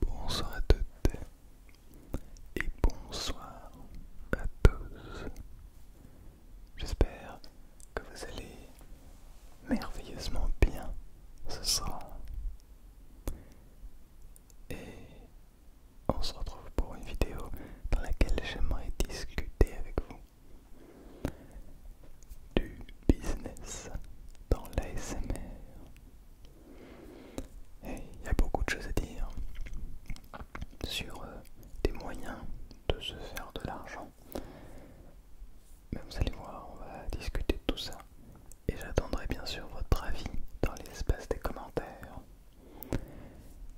Bonsoir à toutes et bonsoir à tous. J'espère que vous allez merveilleusement bien ce soir. Et on se retrouve pour une vidéo dans laquelle j'aimerais discuter avec vous du business dans l'ASMR. Et il y a beaucoup de choses à dire sur euh, des moyens de se faire de l'argent mais vous allez voir, on va discuter de tout ça. Et j'attendrai bien sûr votre avis dans l'espace des commentaires.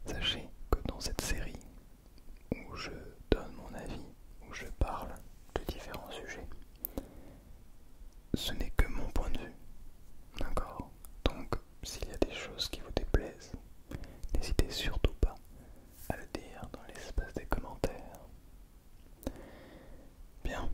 Sachez que dans cette série où je donne mon avis, où je parle de différents sujets, ce n'est que mon point de vue. D'accord Donc s'il y a des choses qui vous déplaisent, n'hésitez surtout pas à le dire dans l'espace des commentaires. Bien,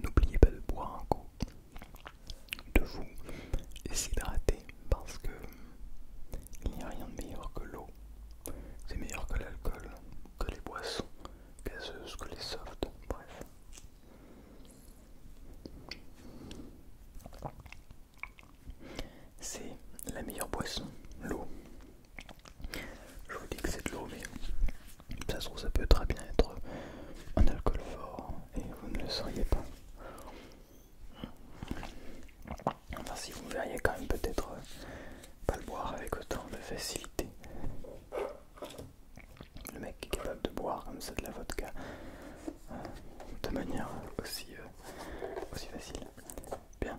N'oubliez pas de boire un coup, de vous s'hydrater parce que il n'y a rien de meilleur que l'eau. C'est meilleur que l'alcool, que les boissons gazeuses, que les softs, bref. C'est la meilleure boisson, l'eau. Je vous dis que c'est de l'eau, mais ça se trouve, ça peut très bien être un alcool fort et vous ne le sauriez pas. Enfin, si vous verriez quand même peut-être pas le boire avec autant de facilité. Le mec est capable de boire comme ça de la vodka euh, de manière aussi, euh, aussi facile. Bien.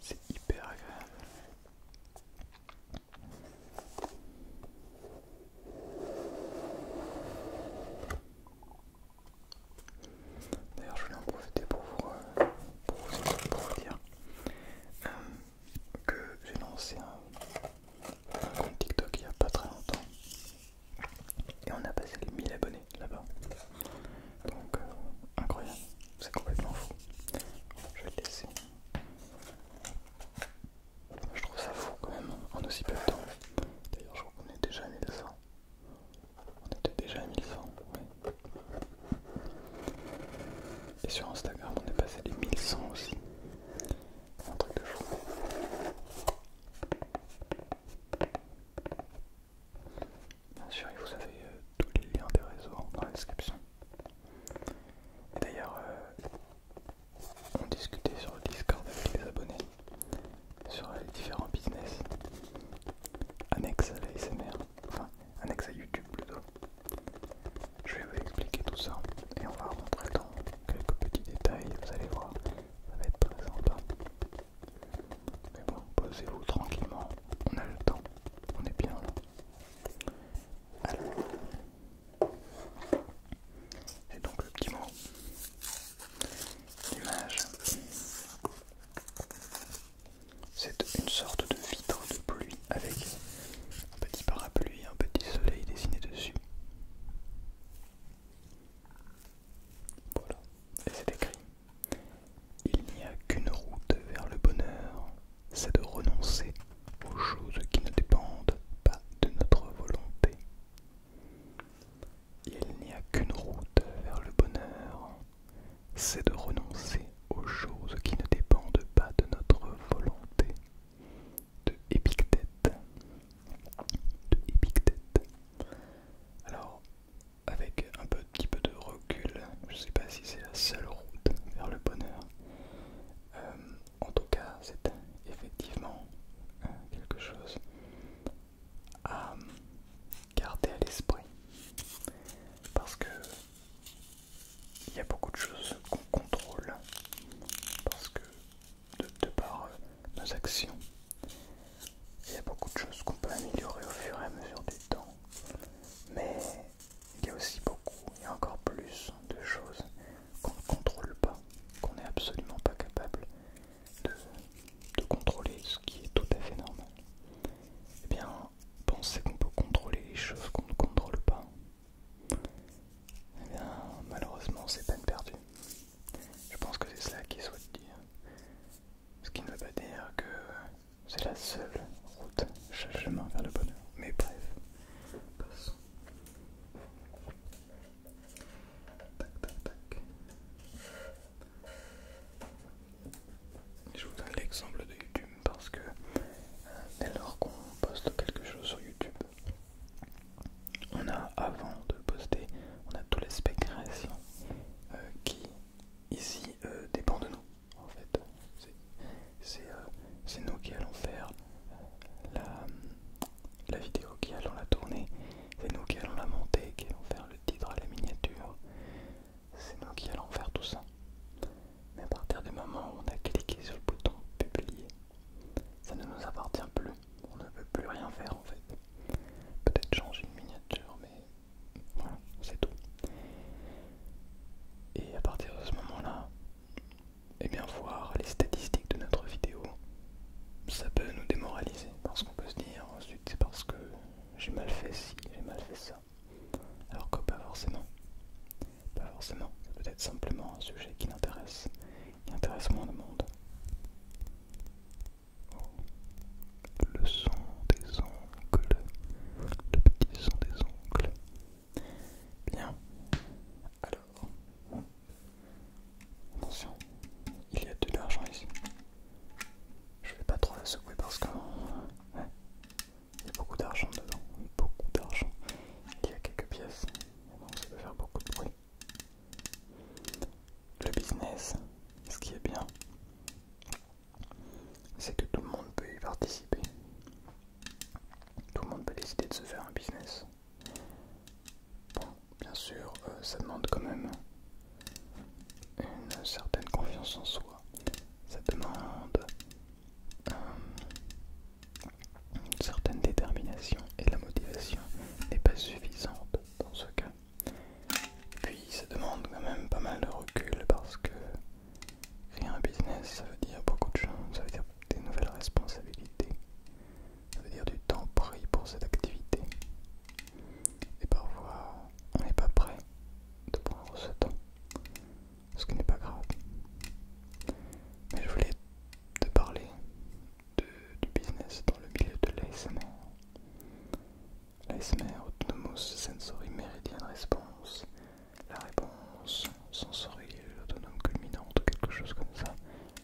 C'est hyper agréable. D'ailleurs, je voulais en profiter pour vous, dire euh, que j'ai lancé un, un compte TikTok il n'y a pas très longtemps et on a passé les 1000 abonnés là-bas. Donc, euh, incroyable, c'est complètement fou. Je vais le laisser. Je trouve ça fou quand même, en aussi peu de temps. D'ailleurs, je crois qu'on est déjà à 1100. On était déjà à 1100, oui. Et sur Instagram, on est passé les 1100 aussi. un truc de fou. Bien sûr, vous avez euh, tous les liens des réseaux dans la description. Et d'ailleurs, euh, on discutait sur le Discord avec les abonnés sur les différents business annexes à la SMR, enfin annexes à YouTube plutôt. Je vais vous expliquer tout ça et on va rentrer dans quelques petits détails, vous allez voir, ça va être très sympa. Mais bon, posez-vous tranquillement, on a le temps, on est bien là. Alors, donc le petit mot, l'image, c'est une sorte de vitre de pluie avec un petit parapluie, un petit soleil dessiné dessus. Voilà, et c'est écrit il n'y a qu'une route vers le bonheur, c'est de renoncer aux choses qui ne dépendent pas de notre volonté. Il n'y a qu'une route vers le bonheur, c'est de renoncer aux choses qui ne dépendent pas de notre volonté. De Épictète. De Épictète. Alors, avec un petit peu de recul, je sais pas si c'est la seule route vers le bonheur. Euh, en tout cas, c'est effectivement euh, quelque chose à euh, garder à l'esprit. Parce que il y a beaucoup de choses qu'on contrôle. Parce que de, par nos actions, il y a beaucoup de choses qu'on peut améliorer au fur et à mesure du temps. Mais il y a aussi beaucoup, il y a encore plus de choses qu'on ne contrôle pas, qu'on n'est absolument pas capable de, contrôler, ce qui est tout à fait normal. Et eh bien, penser qu'on peut contrôler les choses qu'on ne contrôle pas, et eh bien, malheureusement, c'est peine perdue. Je pense que c'est cela qu'il souhaite dire. Ce qui ne veut pas dire que c'est la seule route chaque chemin vers le bonheur. Mais bref, passons. Je vous donne l'exemple de YouTube parce que euh, dès lors qu'on poste quelque chose sur YouTube, on a avant de poster, on a tous les création euh, qui ici euh, dépend de nous en fait c'est euh, nous qui allons faire euh, la, vidéo qui allons la tourner c'est nous qui allons la monter qui allons faire le titre à la miniature c'est nous qui allons faire tout ça mais à partir du moment où on a cliqué sur le bouton publier ça ne nous appartient plus on ne peut plus rien faire en fait peut-être changer une miniature mais voilà, c'est tout. Et à partir de ce moment-là, et eh bien voir les statistiques de notre vidéo, ça peut nous démoraliser parce qu'on peut se dire ensuite c'est parce que j'ai mal fait ci, j'ai mal fait ça. Alors que pas forcément. Pas forcément. C'est peut-être simplement un sujet qui n'intéresse qui intéresse moins de monde le son des ongles, le petit son des ongles. Bien, alors, attention, il y a de l'argent ici. Je vais pas trop la secouer parce que hein, il y a beaucoup d'argent dedans, beaucoup d'argent. Il y a quelques pièces, ça peut faire beaucoup de bruit. Le business, ce qui est bien, c'est que tout le monde peut y participer. Tout le monde peut décider de se faire un business. bien sûr, euh, ça demande quand même une certaine confiance en soi. Ça demande euh, une certaine détermination et la motivation n'est pas suffisante dans ce cas. Puis ça demande quand même pas mal de recul parce que créer un business ça veut dire beaucoup de choses, ça veut dire des nouvelles responsabilités, ça veut dire du temps pris pour cette activité. Et parfois on n'est pas prêt de prendre ce temps, ce qui n'est pas grave. Mais je voulais te parler du business dans le milieu de l'ASMR L'ASMR Autonomous sensori méridienne Response. La réponse sensorielle autonome culminante, quelque chose comme ça.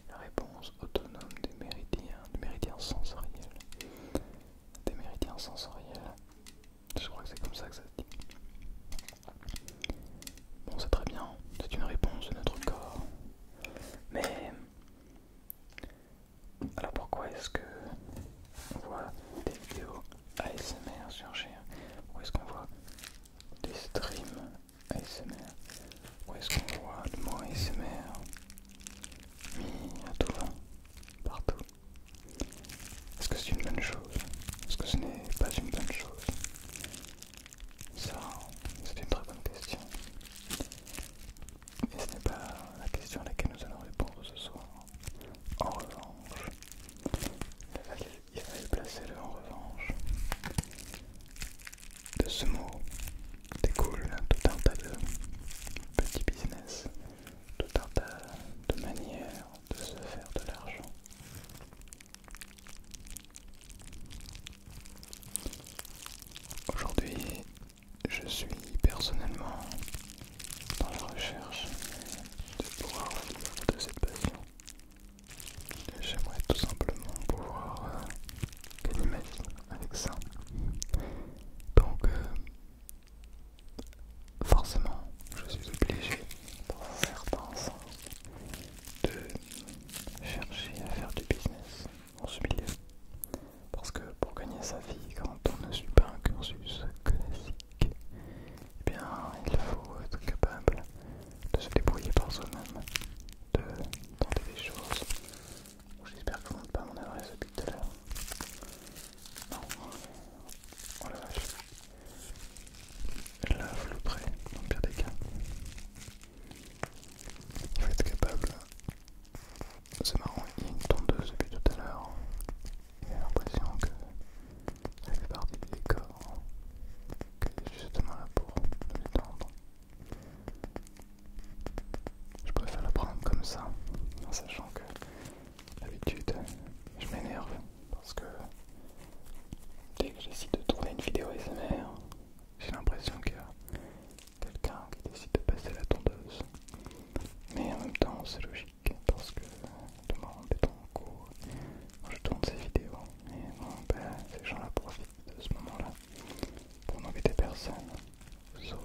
La réponse autonome des méridiens, des méridiens sensoriels. Des méridiens sensoriels. Je crois que c'est comme ça que ça se dit. Bon, c'est très bien, c'est une réponse de notre corps. Mais alors pourquoi est-ce que voit des vidéos ASMR sur surgir Pourquoi est-ce qu'on voit des streams ASMR Où est-ce qu'on voit le mot ASMR mis à tout vent, partout Est-ce que c'est une bonne chose Est-ce que ce n'est pas une bonne chose Ça, c'est une très bonne question. Et ce n'est pas la question à laquelle nous allons répondre ce soir. En revanche, il fallait placer le en revanche. De ce mot découle tout un tas de petits business, tout un tas de manières de se faire de l'argent. Aujourd'hui, je suis personnellement dans la recherche de pouvoir vivre de cette passion. J'aimerais tout simplement pouvoir euh, gagner ma avec ça. Donc, euh, forcément, je suis obligé dans certains de chercher à faire du business en ce milieu. Parce que pour gagner sa vie, quand on ne suit pas un cursus classique, eh bien, il faut être capable de se débrouiller par soi-même, de tenter des choses. J'espère que vous ne pas mon adresse tout à l'heure. Non, oh la vache. La flouterai, dans le pire des cas. Il faut être capable c'est marrant, il une tondeuse depuis tout à l'heure. J'ai l'impression que la plupart des du décor, qu'elle justement là pour les tendre. Je préfère la prendre comme ça, en sachant que d'habitude je m'énerve parce que dès que j'essaie de trouver une vidéo SMR, j'ai l'impression qu'il quelqu'un qui décide de passer la tondeuse mais en même temps c'est logique parce que demain on est en cours, je tourne ces vidéos et bon ben ces gens la profitent de ce moment-là pour n'embêter personne, sauf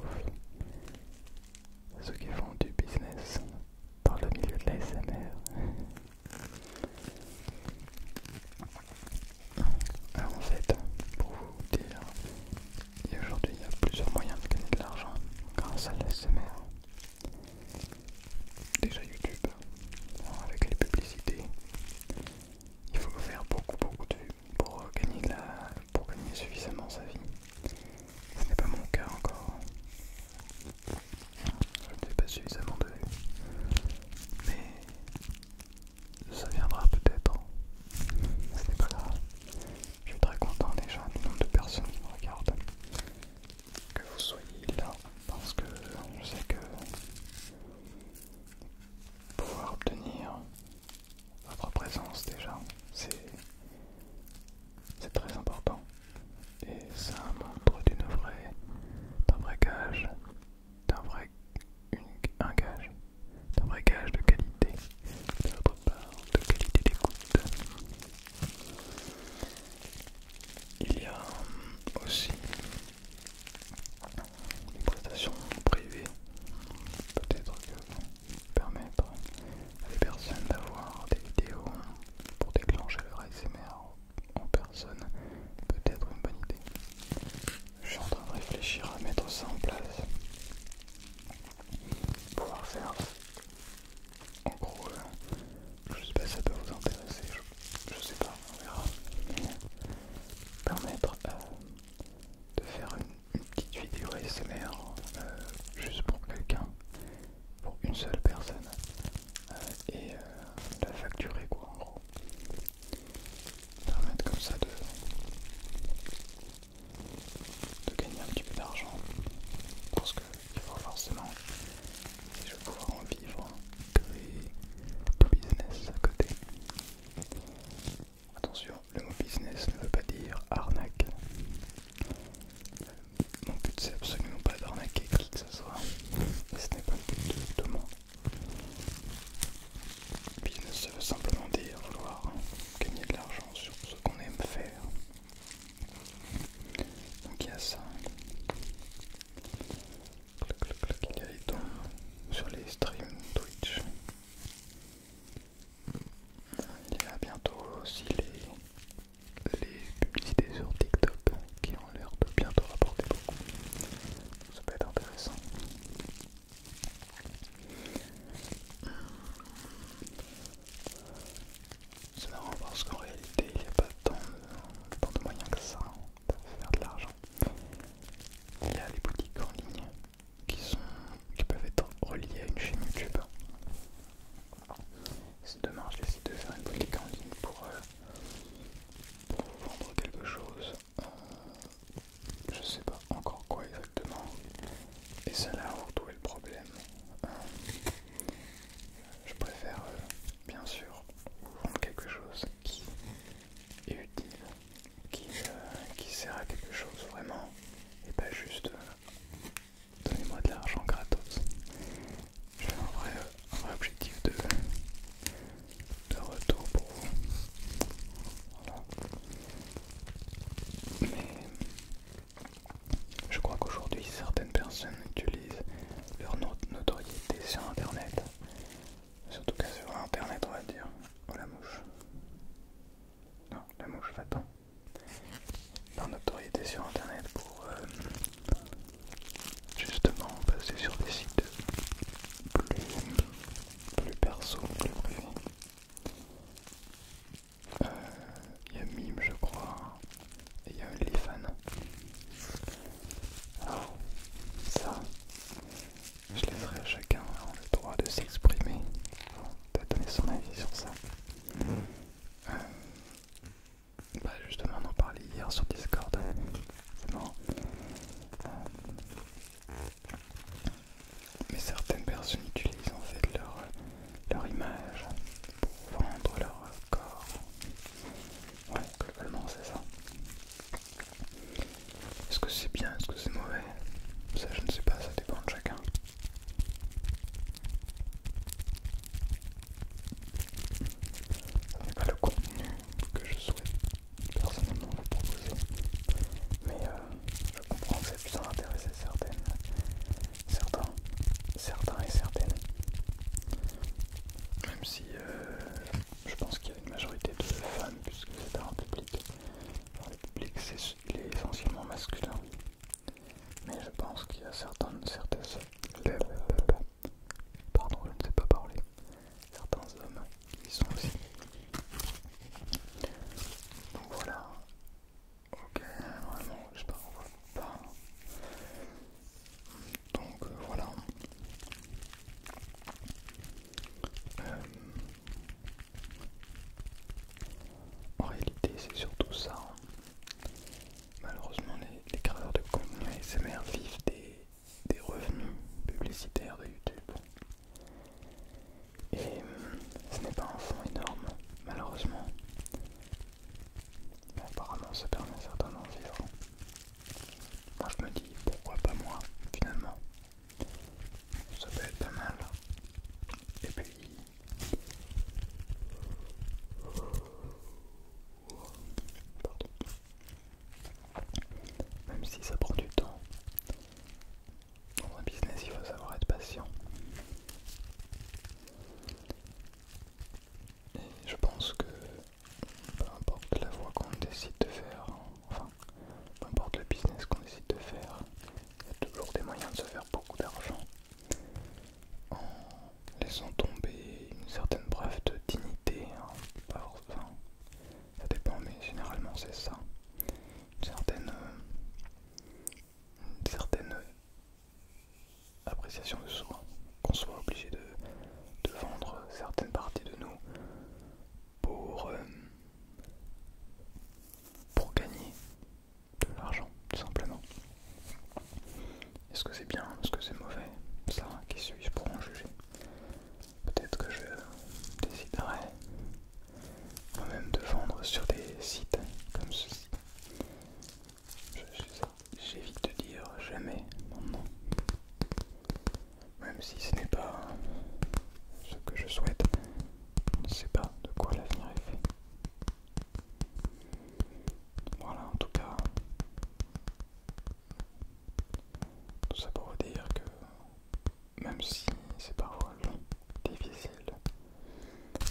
ceux qui font du business par le milieu de l'ASMR. Alors en fait, pour vous dire, et aujourd'hui, il y a plusieurs moyens de gagner de l'argent grâce à l'SMR, Déjà YouTube, hein, avec les publicités, il faut faire beaucoup beaucoup de vues pour euh, gagner, pour gagner suffisamment sa vie. Ce n'est pas mon cas encore. Je ne pas suffisamment de vues. Mais ça viendra peut-être. Hein. Ce n'est pas là. Je suis très content déjà du nombre de personnes qui me regardent. Que vous soyez là, parce que je sais que pouvoir obtenir votre présence déjà, c'est très important. Et ça montre d'une d'un vrai gage, d'un vrai, un gage d'un bagage de qualité, de votre part, de qualité d'écoute. Il y a aussi des prestations privées, peut-être que permettre à des personnes d'avoir des vidéos pour déclencher leur SMR en personne, peut-être une bonne idée. Je suis en train de réfléchir à mettre ça en place pouvoir faire en gros euh, je sais pas si ça peut vous intéresser je, sais pas on verra mais permettre euh, de faire une, petite vidéo ASMR euh, juste pour quelqu'un pour une seule personne et la facturer quoi en gros permettre comme ça de de gagner un petit peu d'argent parce qu'il faut forcément, si je vais pouvoir en vivre, créer business à côté. Attention, le mot business ne veut pas dire arnaque. Mon but c'est absolument pas d'arnaquer qui que ce soit, et ce n'est pas le but de moi. Business ça veut simplement dire vouloir gagner de l'argent sur ce qu'on aime faire. Donc il y a ça. Il y a les sur les streams Twitch. Il y a bientôt aussi les, les publicités sur TikTok qui ont l'air de bientôt rapporter beaucoup. Ça peut être intéressant. Euh, C'est marrant parce qu'en réalité il n'y a pas tant de, moyens que ça hein, de faire de l'argent. Il y a les boutiques en ligne qui, sont, qui peuvent être reliées à une chaîne YouTube. C'est dommage décidé de faire une boutique en ligne pour, euh, vendre quelque chose. Euh, je ne sais pas encore quoi et c'est là où est le problème. Euh, je préfère, euh, bien sûr, prendre quelque chose qui est utile, euh, qui, sert à quelque chose vraiment, et pas juste donner donnez-moi de l'argent gratos. J'ai un vrai, objectif de, de retour pour vous. Mais je crois qu'aujourd'hui, certaines personnes utilisent leur notoriété sur Internet. Surtout que sur Internet, on va dire. Oh la mouche. Non, la mouche va-t'en. Leur notoriété sur Internet pour euh, justement passer sur des sites plus, plus perso, plus privés. Il euh, y a Mime, je crois, et il y a Lifan. Alors, ça, je laisserai à chacun hein, le droit de s'exprimer, de donner son avis sur ça. Euh, bah justement, on en parlait hier sur Discord. Mais certaines personnes utilisent en fait leur, image pour vendre leur corps. Ouais, globalement c'est ça. Est-ce que c'est bien, est-ce que c'est mauvais Ça je ne sais pas, ça dépend de chacun. Ce n'est pas le contenu que je souhaite personnellement vous proposer. Euh, je comprends que ça puisse certaines, certains, certains et certaines. Même si euh, je pense qu'il y a une majorité de femmes, puisque c'est un public. le public, est, essentiellement masculin. Mais je pense qu'il y a certaines, pardon, je ne pas parler, certains hommes qui sont aussi. Donc voilà, Ok, vraiment, je ne parle pas. Donc euh, voilà. Euh, en réalité, c'est surtout ça. Hein. Malheureusement, les, créateurs de contenu SMR vivent des revenus publicitaires de YouTube. Et euh, ce n'est pas un fond énorme, malheureusement. Mais apparemment, ça permet certains d'en Moi, je me dis, pourquoi pas moi, finalement Ça peut être pas mal. Et puis... Même si ça prend du temps, dans un business, il faut savoir être patient. Et je pense que peu importe la voie qu'on décide de faire, enfin, peu importe le business qu'on décide de faire, il y a toujours des moyens de se faire beaucoup d'argent en laissant tomber une certaine preuve de dignité. Hein, enfin, ça dépend, mais généralement c'est ça. Une certaine euh, une certaine euh, appréciation de soi, qu'on soit obligé de, vendre certaines parties de nous pour, euh, pour gagner de l'argent, tout simplement. Est-ce que c'est bien, est-ce que c'est mauvais Ça, qui suis-je pour en juger Peut-être que je déciderai ou même de vendre sur des sites comme ceci. J'évite de dire jamais nom. même si ce n'est pas ce que je souhaite, on ne sait pas de quoi l'avenir est fait. Voilà, en tout cas, tout ça pour vous dire que même si c'est parfois difficile,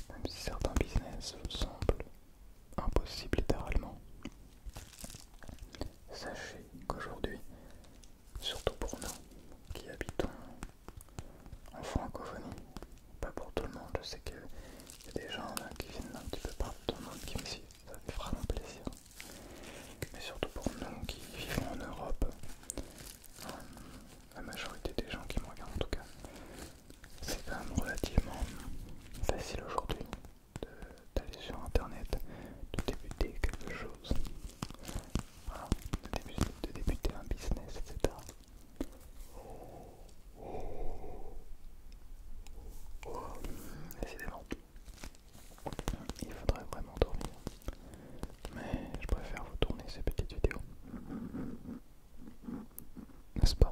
même si certains business semblent impossibles littéralement, sachez qu'aujourd'hui, surtout pour nous qui habitons en francophonie, pas pour tout le monde, je sais qu'il y a des gens qui viennent un petit peu partout dans le monde qui me suivent, ça fait vraiment plaisir. Mais surtout pour nous qui vivons en Europe, la majorité des gens qui me regardent en tout cas, c'est quand même relativement facile aujourd'hui d'aller sur internet, de débuter quelque chose, de, débuter, de un business, etc. Décidément, il faudrait vraiment dormir mais je préfère vous tourner ces petites vidéos. N'est-ce pas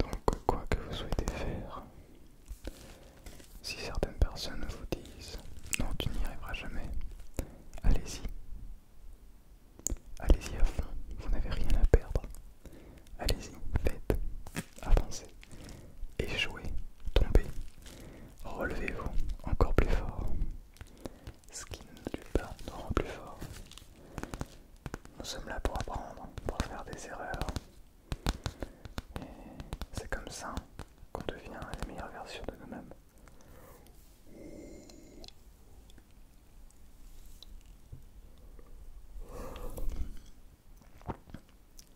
Donc quoi que vous souhaitez faire, si certaines personnes vous disent non tu n'y arriveras jamais, allez-y. Allez-y à fond, vous n'avez rien à perdre. Allez-y, faites, avancez, échouez, tombez, relevez-vous encore plus fort. Ce qui ne pas nous rend plus fort. Nous sommes là pour apprendre, pour faire des erreurs. Et c'est comme ça qu'on devient la meilleure version de nous-mêmes.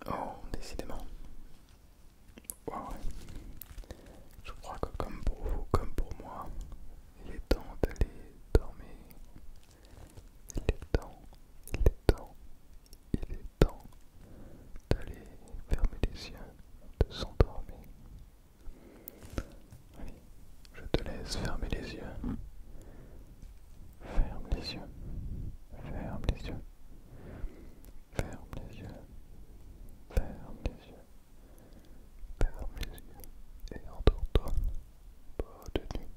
Oh, décidément. Je crois que comme pour vous, comme pour moi, il est temps d'aller dormir. Il est temps, il est temps, il est temps d'aller fermer les yeux, de s'endormir. Allez, je te laisse fermer les yeux. Ferme les yeux. Ferme les yeux. Ferme les yeux. Ferme les yeux. Ferme les yeux. Et endors-toi. Bonne nuit.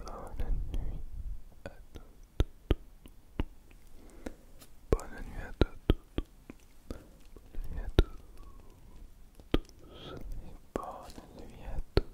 Bonne nuit à toutes. Bonne nuit à toutes. Bonne nuit à tous. Bonne nuit à toutes.